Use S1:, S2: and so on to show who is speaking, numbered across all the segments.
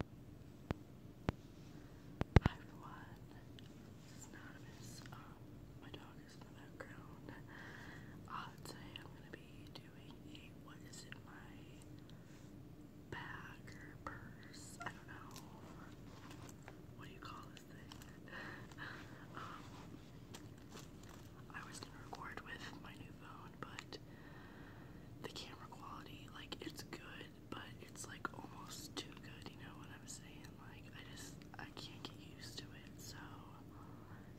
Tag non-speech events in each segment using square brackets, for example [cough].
S1: Hi everyone, this is Anonymous. my dog is in the background. today I'm gonna be doing a what is in my bag or purse. I don't know. What do you call this thing? I was gonna record with my new phone, but the camera quality, like, it's good, but it's like almost too good, you know what I'm saying? Like, I just, I can't get used to it, so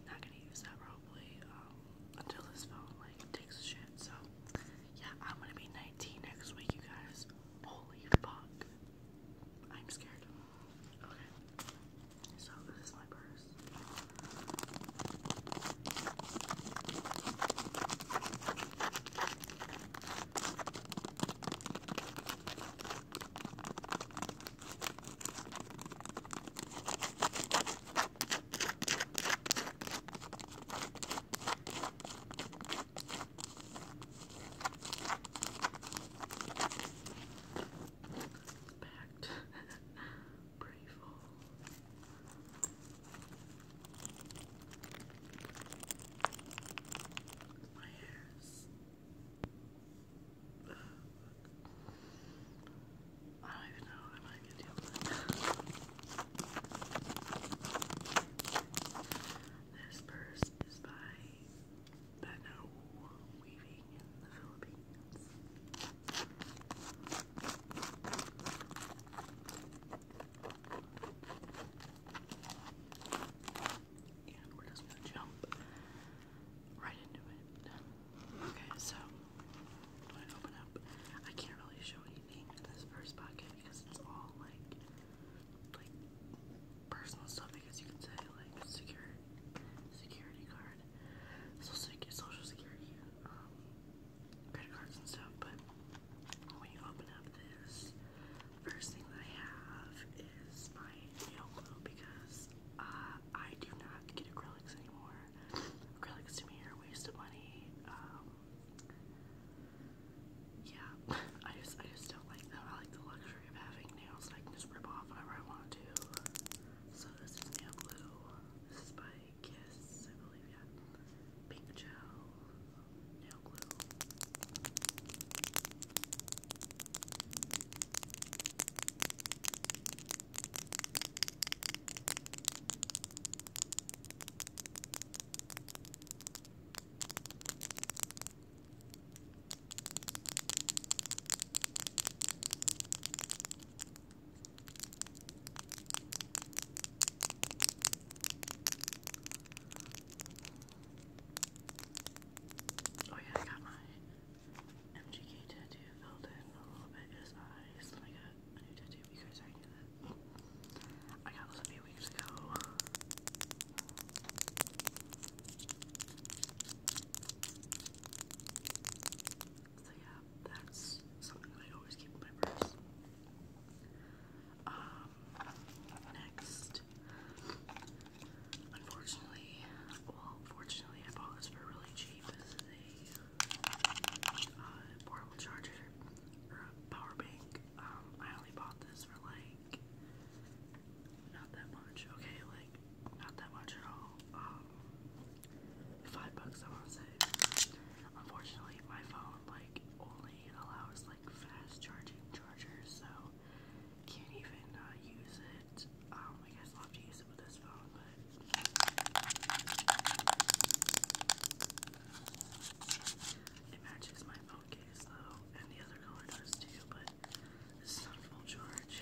S1: not gonna use that probably um, until this phone like takes shit. So, yeah, I'm gonna be 19 next week, you guys. Holy fuck. I'm scared. Okay, so this is my purse. Packed. [laughs] Pretty full. My hairs. I don't even know if I can deal with This purse is by Beno Weaving in the Philippines. And we're just gonna jump right into it. Okay, so i open up. I can't really show anything in this first pocket because it's all like like personal stuff I you can say, like secure security card. So social security um, credit cards and stuff, but when you open up this, first thing that I have is my nail glue because uh, I do not get acrylics anymore. acrylics to me are a waste of money. Um, yeah, [laughs] I just I just don't like them. I like the luxury of having nails that I can just rip off whenever I want to. So this is nail glue. This is by Kiss, I believe, yeah. Pink gel, nail glue. Oh yeah, I got my MGK tattoo filled in a little bit his eyes. I got a new tattoo because I knew that. I got this a few weeks ago. So yeah, that's something that I always keep in my purse. Um, next, unfortunately, well, fortunately, I bought this for really cheap. This is a uh, portable charger power bank. Um, I only bought this for like not that much. Okay, like not that much at all. Um, five bucks I want say. Unfortunately my phone like only allows like fast charging chargers so can't even uh, use it. Um I guess I'll have to use it with this phone but it matches my phone case though and the other color does too but this is not full charge.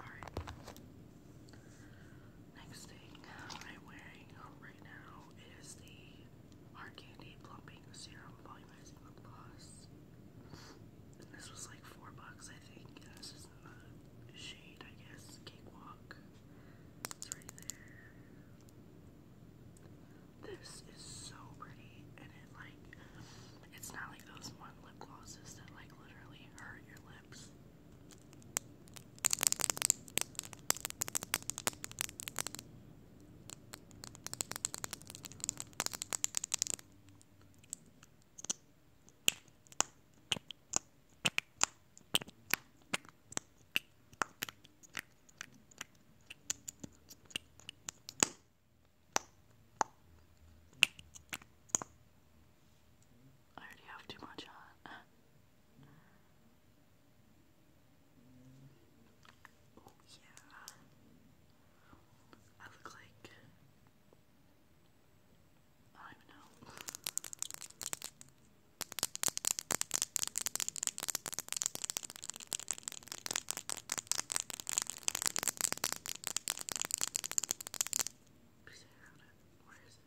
S1: Alright. Next thing I'm wearing right now is the Hard Candy Plumping Serum Volumizing Gloss. this was like four bucks, I think shade, I guess, Cakewalk. It's right there. This is so pretty, and it like, it's not like those one lip glosses that like literally hurt your lips. I already have too much on. oh [laughs] yeah. I look like I don't even know. Where is it?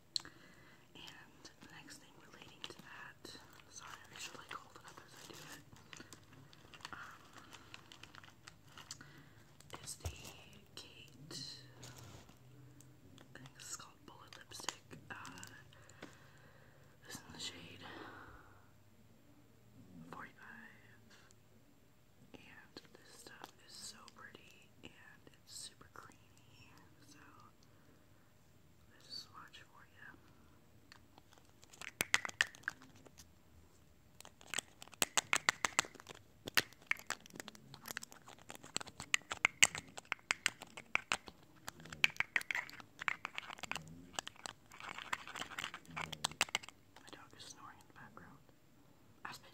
S1: And the next thing relating to that, sorry, I should like hold um, is the Kate, this is called Bullet Lipstick, this uh, is the shade 45, and this stuff is so pretty and it's super creamy, so there's a swatch for you. My dog is snoring in the background. Aspen!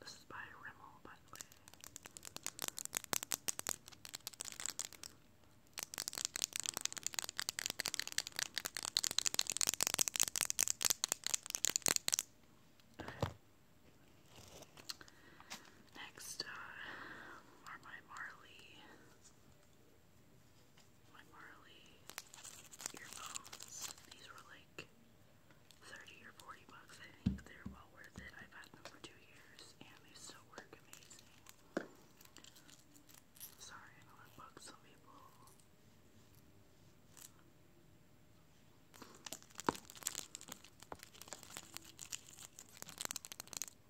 S1: This is by Rimmel, by the way. Next uh, are my Marley my Marley earphones. These were like 30 or 40 bucks. I think they're well worth it. I've had them for two years and they still work amazing. Sorry, I know some people.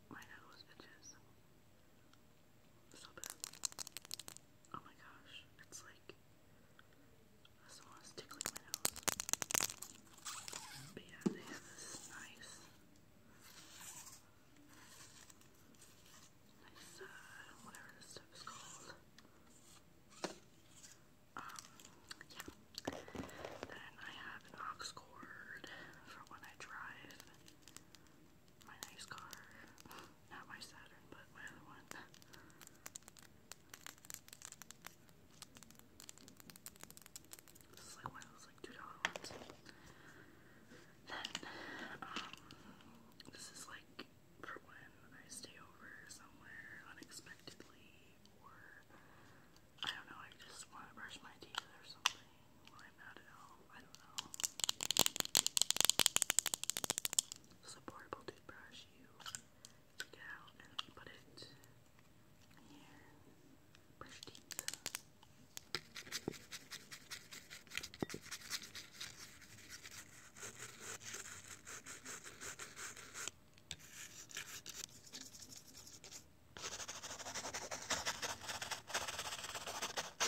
S1: My nose itches. So bad. Oh my gosh, it's like someone's tickling my nose. But yeah, they have this nice, nice, uh, whatever this stuff is called. Um, yeah. Then I have an aux cord for when I drive my nice car. Not my Saturn, but my other one. This is like one of those like two dollar ones. Then um this is like for when I stay over somewhere unexpectedly or I don't know, I just want to brush my teeth or something. Lime out at all. I don't know. This toothbrush. You take it out and put it here. Brush teeth.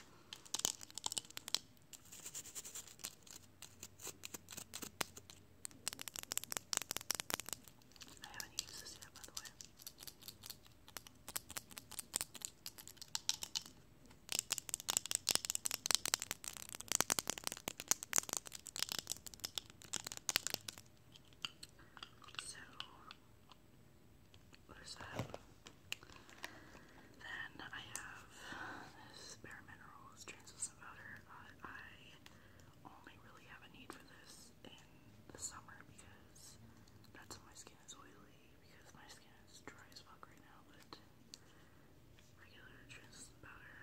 S1: I haven't used this yet, by the way. So, there's that. Then I have this Bare Minerals translucent powder. I only really have a need for this in the summer because that's when my skin is oily because my skin is dry as fuck right now, but regular translucent powder.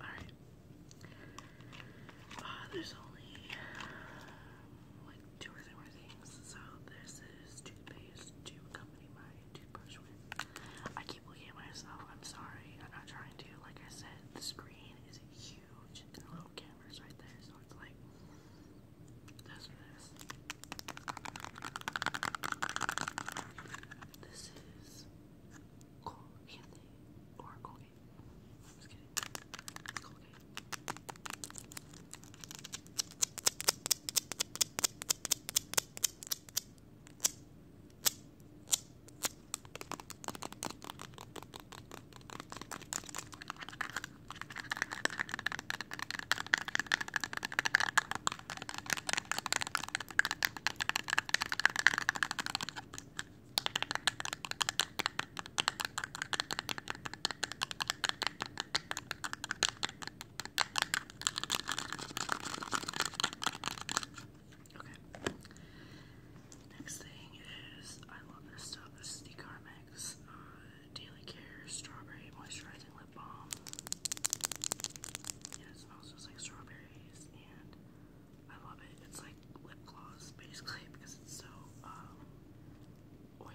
S1: Alright. Uh, there's only like two or three more things. So, this is toothpaste to accompany my toothbrush with. I keep looking at myself. I'm sorry. I'm not trying to. Like I said, the screen is huge the little cameras right there. So, it's like, this. This is Colgate or Colgate. just kidding. Colgate. Okay. Next thing is I love this stuff. This is the Carmex uh, Daily Care Strawberry Moisturizing lip balm. And it smells just like strawberries, and I love it. It's like lip gloss, basically, [laughs] because it's so um, oily.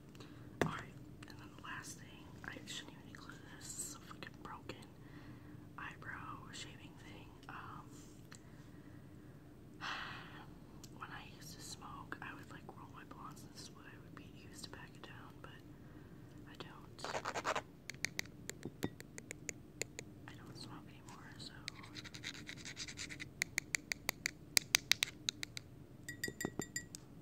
S1: Alright, and then the last thing, I shouldn't even include this, so fucking broken eyebrow shaving thing. Um, [sighs] when I used to smoke, I would like roll my blondes, this is what I would be used to pack down, but I don't. I don't smoke anymore, so. Sorry,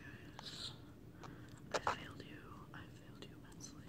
S1: guys. I failed you. I failed you immensely.